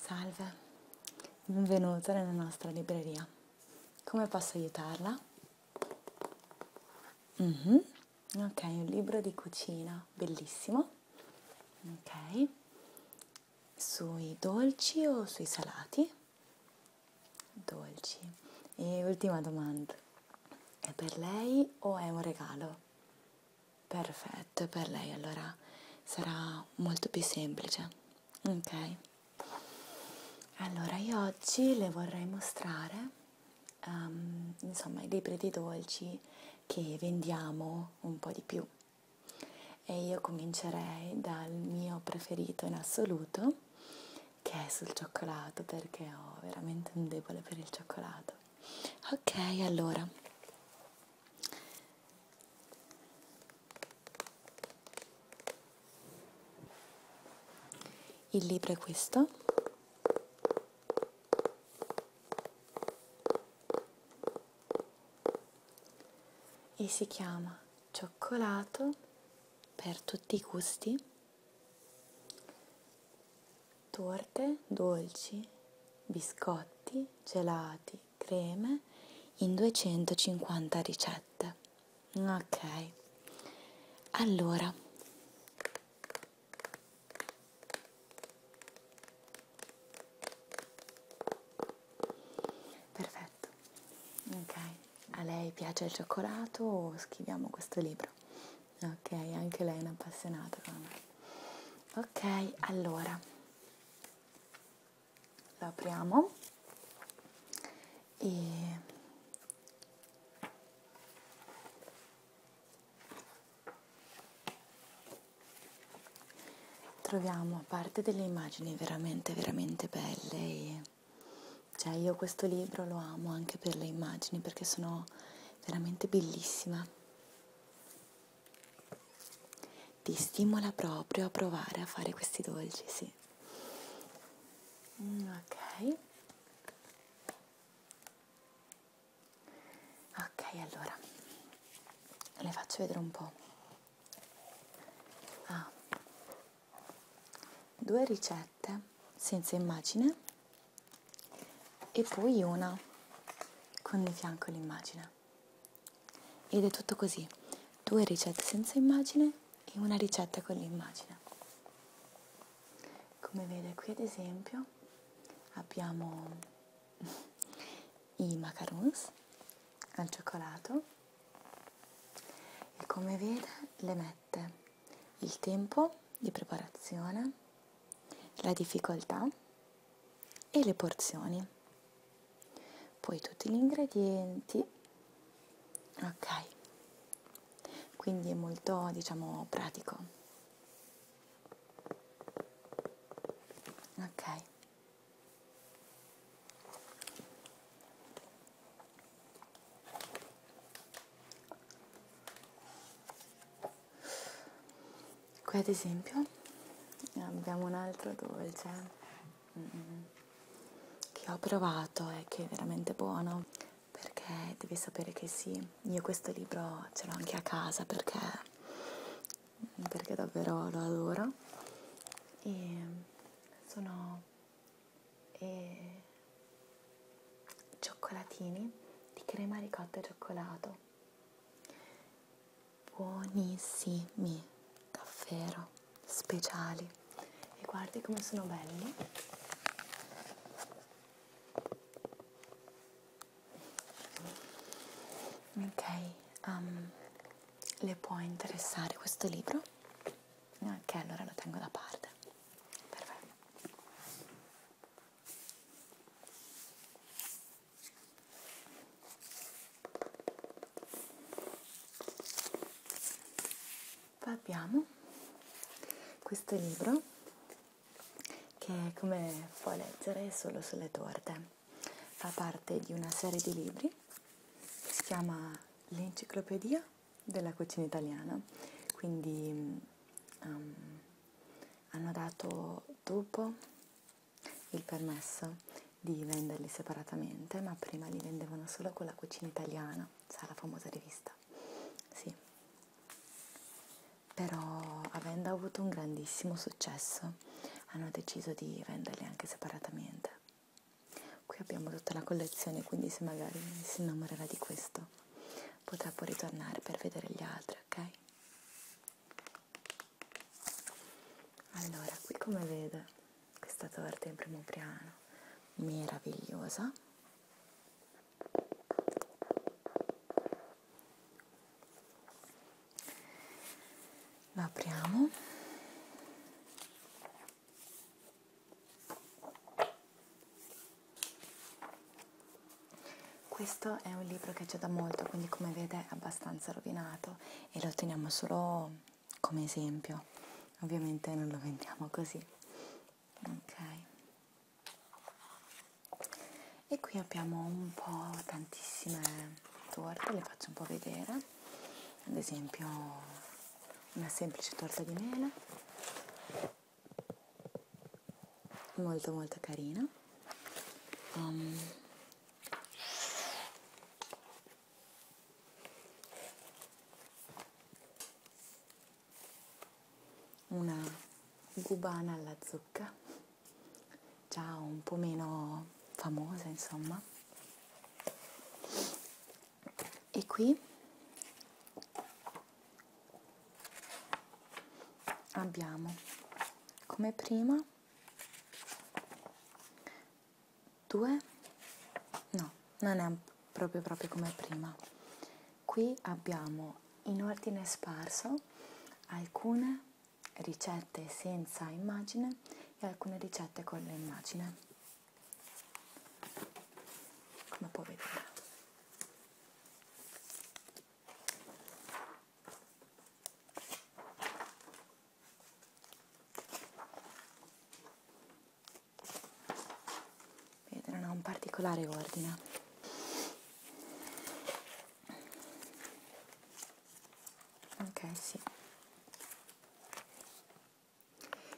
Salve, benvenuta nella nostra libreria. Come posso aiutarla? Mm-hmm. Ok, un libro di cucina, bellissimo. Ok, sui dolci o sui salati? Dolci. E ultima domanda, è per lei o è un regalo? Perfetto, per lei allora sarà molto più semplice. Ok? Allora, io oggi le vorrei mostrare um, insomma i libri di dolci che vendiamo un po' di più. E io comincerei dal mio preferito in assoluto, che è sul cioccolato, perché ho veramente un debole per il cioccolato. Ok, allora il libro è questo. E si chiama Cioccolato per tutti i gusti torte, dolci, biscotti, gelati, creme in 250 ricette. Ok, allora. Perfetto, ok. A lei piace il cioccolato o scriviamo questo libro? Ok, anche lei è un'appassionata come me ok allora lo apriamo e troviamo a parte delle immagini veramente veramente belle e cioè io questo libro lo amo anche per le immagini perché sono veramente bellissima ti stimola proprio a provare a fare questi dolci, sì. Mm, ok. Ok, allora le faccio vedere un po'. Ah. Due ricette senza immagine e poi una con di fianco l'immagine ed è tutto così due ricette senza immagine e una ricetta con l'immagine come vede qui ad esempio abbiamo i macarons al cioccolato e come vede le mette il tempo di preparazione la difficoltà e le porzioni. Poi tutti gli ingredienti. Ok. Quindi è molto, diciamo, pratico. Ok qui ad esempio ah, abbiamo un altro dolce mm, che ho provato e che è veramente buono perché devi sapere che sì io questo libro ce l'ho anche a casa perché, perché davvero lo adoro e sono e, cioccolatini di crema ricotta e cioccolato buonissimi davvero speciali e guardi come sono belli ok um, le può interessare questo libro ok allora lo tengo da parte perfetto poi abbiamo questo libro che come puoi leggere è solo sulle torte, fa parte di una serie di libri che si chiama l'enciclopedia della cucina italiana, quindi mm, um, hanno dato dopo il permesso di venderli separatamente, ma prima li vendevano solo con la cucina italiana, sa la famosa rivista. Sì. Però avendo avuto un grandissimo successo, hanno deciso di venderli anche separatamente. Qui abbiamo tutta la collezione, quindi se magari si innamorerà di questo, potrà poi ritornare per vedere gli altri, ok? Allora, qui come vede questa torta in primo piano, meravigliosa. La apriamo. Questo è un libro che c'è da molto, quindi come vede è abbastanza rovinato e lo teniamo solo come esempio. Ovviamente non lo vendiamo così. Ok. E qui abbiamo un po' tantissime torte, le faccio un po' vedere. Ad esempio una semplice torta di mela molto molto carina um, una gubana alla zucca già un po' meno famosa insomma e qui abbiamo come prima due no non è proprio proprio come prima qui abbiamo in ordine sparso alcune ricette senza immagine e alcune ricette con l'immagine come puoi vedere vedono un particolare ordine ok sì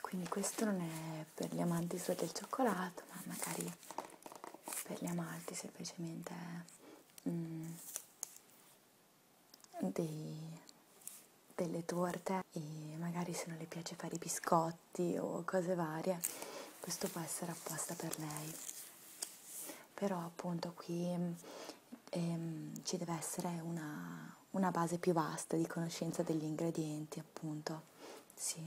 quindi questo non è per gli amanti solo del cioccolato ma magari amalti per gli amalti semplicemente mm, dei, delle torte e magari se non le piace fare i biscotti o cose varie questo può essere apposta per lei però appunto qui ehm, ci deve essere una, una base più vasta di conoscenza degli ingredienti appunto sì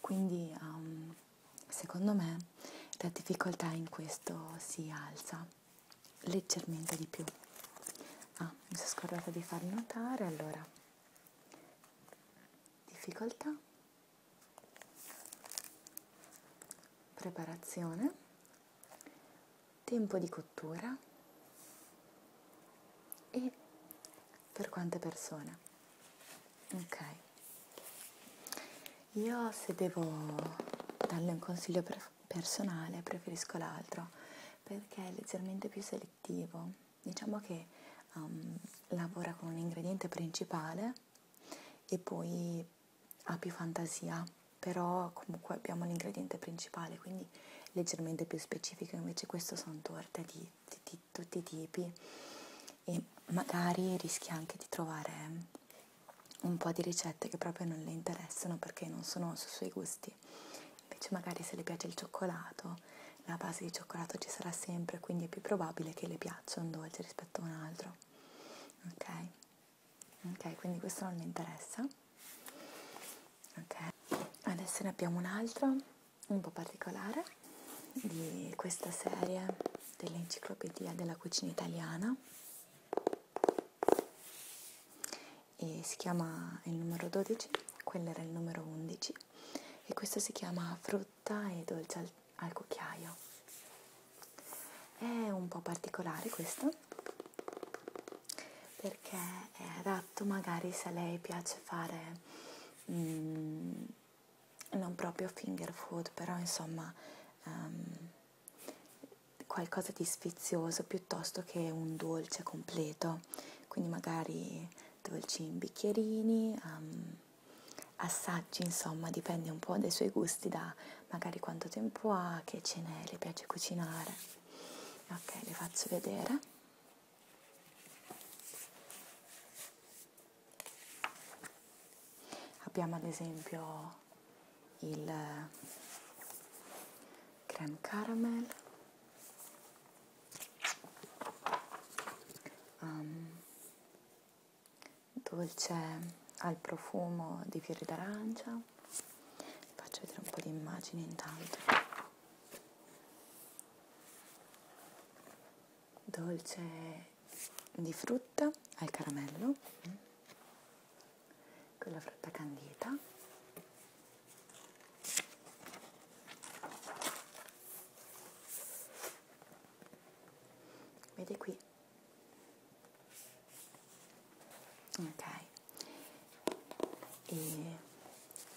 quindi um, secondo me la difficoltà in questo si alza leggermente di più. Ah, mi sono scordata di farvi notare, allora, difficoltà, preparazione, tempo di cottura e per quante persone ok io se devo darle un consiglio per personale preferisco l'altro perché è leggermente più selettivo diciamo che um, lavora con un ingrediente principale e poi ha più fantasia però comunque abbiamo l'ingrediente principale quindi leggermente più specifico invece questo sono torte di, di, di tutti i tipi e magari rischi anche di trovare un po' di ricette che proprio non le interessano perché non sono sui suoi gusti. Invece magari se le piace il cioccolato, la base di cioccolato ci sarà sempre, quindi è più probabile che le piaccia un dolce rispetto a un altro. Ok? Ok, quindi questo non le interessa. Ok. Adesso ne abbiamo un altro un po' particolare di questa serie dell'enciclopedia della cucina italiana e si chiama il numero 12, quello era il numero 11 e questo si chiama frutta e dolce al, al cucchiaio. È un po' particolare questo perché è adatto magari se a lei piace fare... Mm, non proprio finger food, però insomma um, qualcosa di sfizioso piuttosto che un dolce completo, quindi magari dolci in bicchierini, um, assaggi, insomma dipende un po' dai suoi gusti, da magari quanto tempo ha, che cene le piace cucinare. Ok, le faccio vedere. Abbiamo ad esempio il Gran Caramel, um, dolce al profumo di fiori d'arancia, vi faccio vedere un po' di immagini intanto dolce di frutta al caramello mm, con la frutta candita vedi qui ok e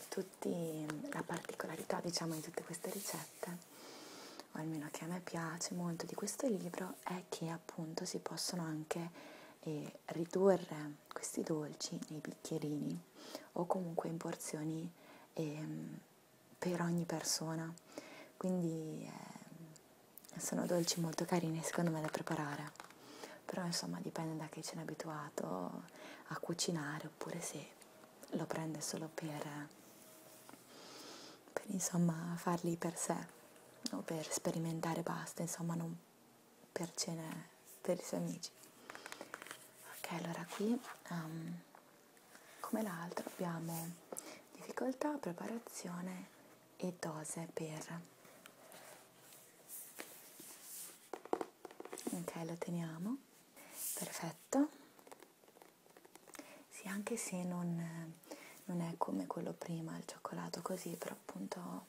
tu tutti la particolarità diciamo di tutte queste ricette o almeno che a me piace molto di questo libro è che appunto si possono anche eh, ridurre questi dolci nei bicchierini o comunque in porzioni eh, per ogni persona quindi eh, sono dolci molto carini secondo me da preparare però insomma dipende da chi ce n'è abituato a cucinare oppure se lo prende solo per, per insomma farli per sé o per sperimentare basta, insomma non per cene per i suoi amici. Ok, allora qui um, come l'altro abbiamo difficoltà, preparazione e dose per ok lo teniamo perfetto sì anche se non, non è come quello prima il cioccolato così però appunto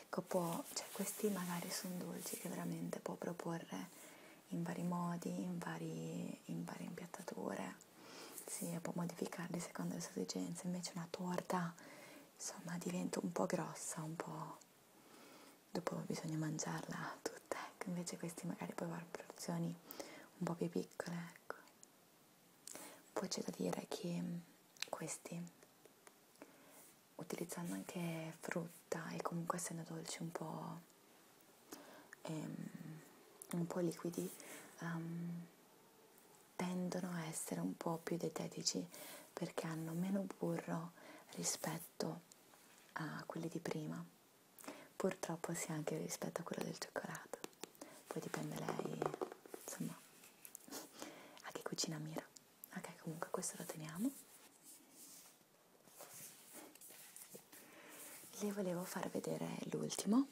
ecco può cioè questi magari sono dolci che veramente può proporre in vari modi in, vari, in varie impiattature si sì, può modificarli secondo le sue esigenze invece una torta insomma diventa un po' grossa un po' dopo bisogna mangiarla tutta, ecco, invece questi magari poi vanno porzioni un po' più piccole, ecco. Poi c'è da dire che mm, questi, utilizzando anche frutta e comunque essendo dolci un po', ehm, un po liquidi, um, tendono a essere un po' più dietetici perché hanno meno burro rispetto a quelle di prima, purtroppo sia anche rispetto a quello del cioccolato, poi dipende lei, insomma, a che cucina mira. Ok, comunque questo lo teniamo. Le volevo far vedere l'ultimo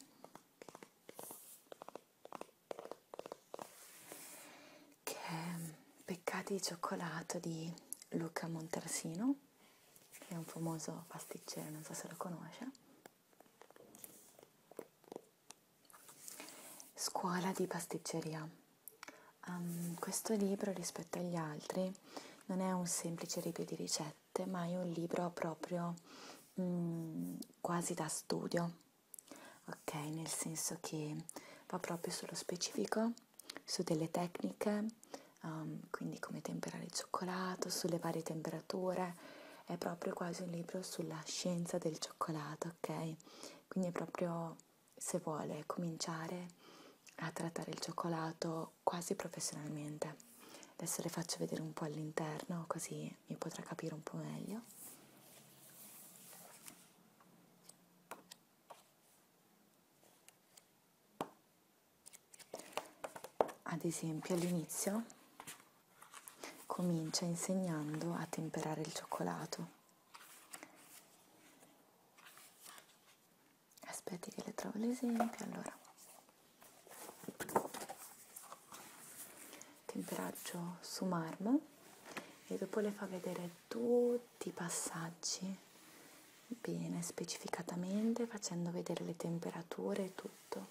che è Peccati di cioccolato di Luca Montersino, che è un famoso pasticcere, non so se lo conosce. Scuola di pasticceria. Um, questo libro rispetto agli altri non è un semplice review di ricette, ma è un libro proprio mm, quasi da studio, ok? Nel senso che va proprio sullo specifico su delle tecniche, um, quindi come temperare il cioccolato, sulle varie temperature, è proprio quasi un libro sulla scienza del cioccolato, ok? Quindi è proprio se vuole cominciare a trattare il cioccolato quasi professionalmente. Adesso le faccio vedere un po' all'interno così mi potrà capire un po' meglio. Ad esempio all'inizio comincia insegnando a temperare il cioccolato. Aspetti che le trovo l'esempio, allora. Temperaggio su marmo e dopo le fa vedere tutti i passaggi bene specificatamente facendo vedere le temperature e tutto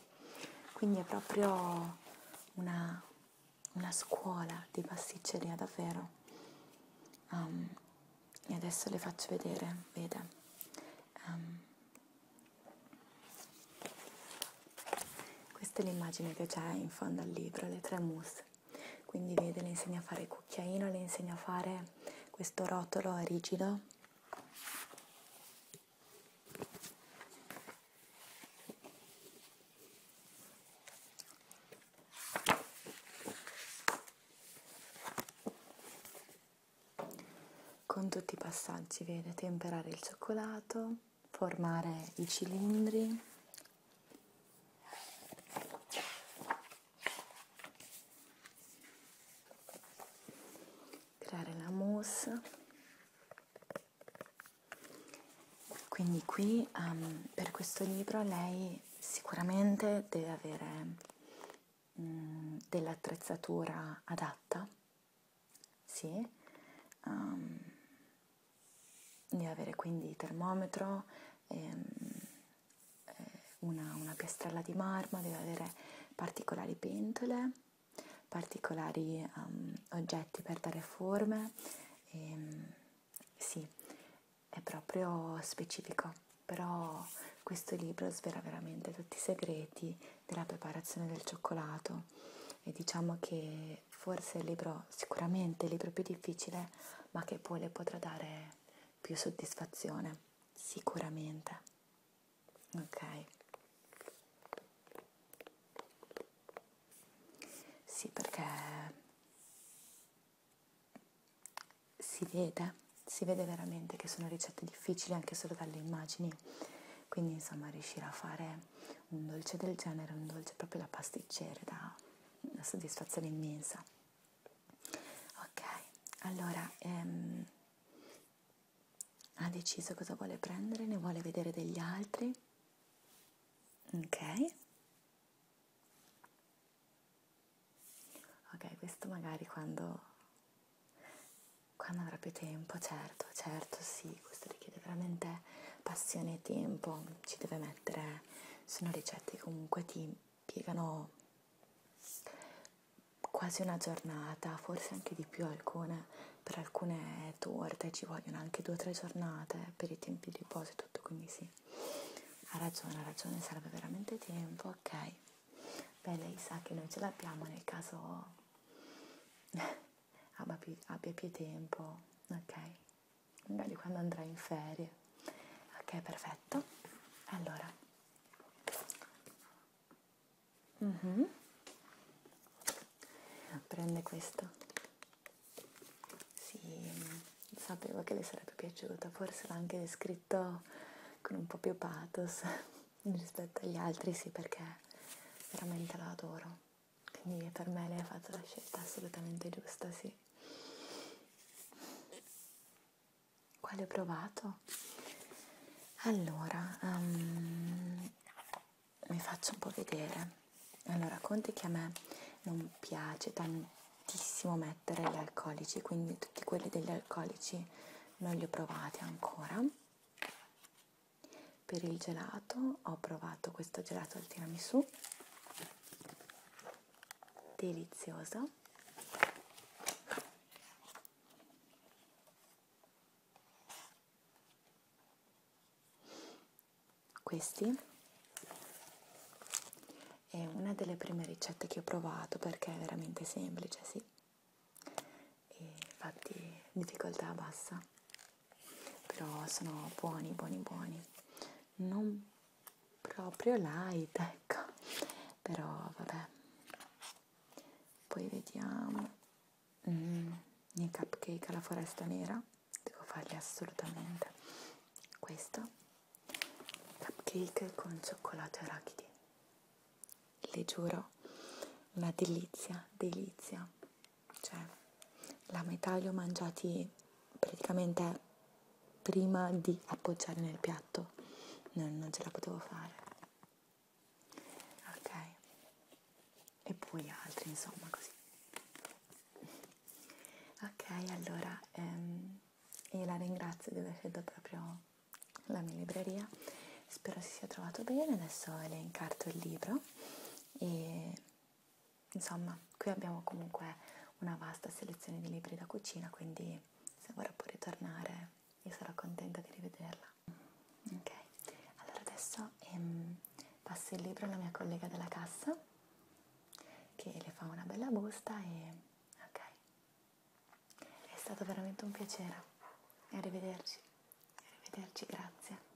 quindi è proprio una, una scuola di pasticceria davvero um, e adesso le faccio vedere vede um, questa è l'immagine che c'è in fondo al libro le tre mousse cose. Quindi vede, le insegna a fare il cucchiaino, le insegna a fare questo rotolo rigido. Con tutti i passaggi vede temperare il cioccolato, formare i cilindri, creare la mousse quindi qui um, per questo libro lei sicuramente deve avere um, mm, dell'attrezzatura adatta sì um, di avere quindi termometro, ehm, eh, una, una piastrella di marmo, deve avere particolari pentole, particolari um, oggetti per dare forme. E, ehm, sì, è proprio specifico, però questo libro svela veramente tutti i segreti della preparazione del cioccolato e diciamo che che forse è il libro, sicuramente il libro più difficile, ma che poi le potrà dare più soddisfazione, sicuramente. Ok. Sì, perché si vede, si vede veramente che sono ricette difficili anche solo dalle immagini. Quindi, insomma, riuscire a fare un dolce del genere, un dolce proprio da pasticcere, da una soddisfazione immensa. Ok, allora ehm, ha deciso cosa vuole prendere, ne vuole vedere degli altri. Ok. Ok, questo magari quando, quando avrà più tempo, certo, certo sì, questo richiede veramente passione e tempo, ci deve mettere perché sono ricette che comunque ti impiegano quasi una giornata, forse anche di più alcune, per alcune torte ci vogliono anche due o tre giornate per i tempi di riposo e tutto, quindi sì, ha ragione, ha ragione, serve veramente tempo, ok. Beh, lei sa che noi ce l'abbiamo nel caso abbia più tempo, ok magari quando andrai in ferie. Ok, perfetto. Allora. Mm -hmm. Prende questo. Sì, sapevo che le sarebbe piaciuta, forse l'ha anche descritto con un po' più pathos rispetto agli altri, sì, perché veramente lo adoro. Quindi per me lei ha fatto la scelta assolutamente giusta, sì. Quale ho provato? Allora, um, mi faccio un po' vedere. Allora, conti che a me non piace tantissimo mettere gli alcolici, quindi tutti quelli degli alcolici non li ho provati ancora. Per il gelato ho provato questo gelato al tiramisù delizioso questi è una delle prime ricette che ho provato perché è veramente semplice sì e infatti difficoltà bassa però sono buoni buoni buoni non proprio light ecco però vabbè poi vediamo mm, i cupcake alla foresta nera devo farli assolutamente questo cupcake con cioccolato e arachidi le giuro una delizia delizia cioè la metà li ho mangiati praticamente prima di appoggiare nel piatto, non, non ce la potevo fare. Ok, e poi altri insomma così. Ok, allora ehm, io la ringrazio di aver scelto proprio la mia libreria, spero si sia trovato bene, adesso le incarto il libro e Insomma, qui abbiamo comunque una vasta selezione di libri da cucina, quindi se vorrà pure tornare io sarò contenta di rivederla. Ok, allora adesso ehm, passo il libro alla mia collega della cassa che le fa una bella busta e ok. È stato veramente un piacere. Arrivederci. Arrivederci, grazie.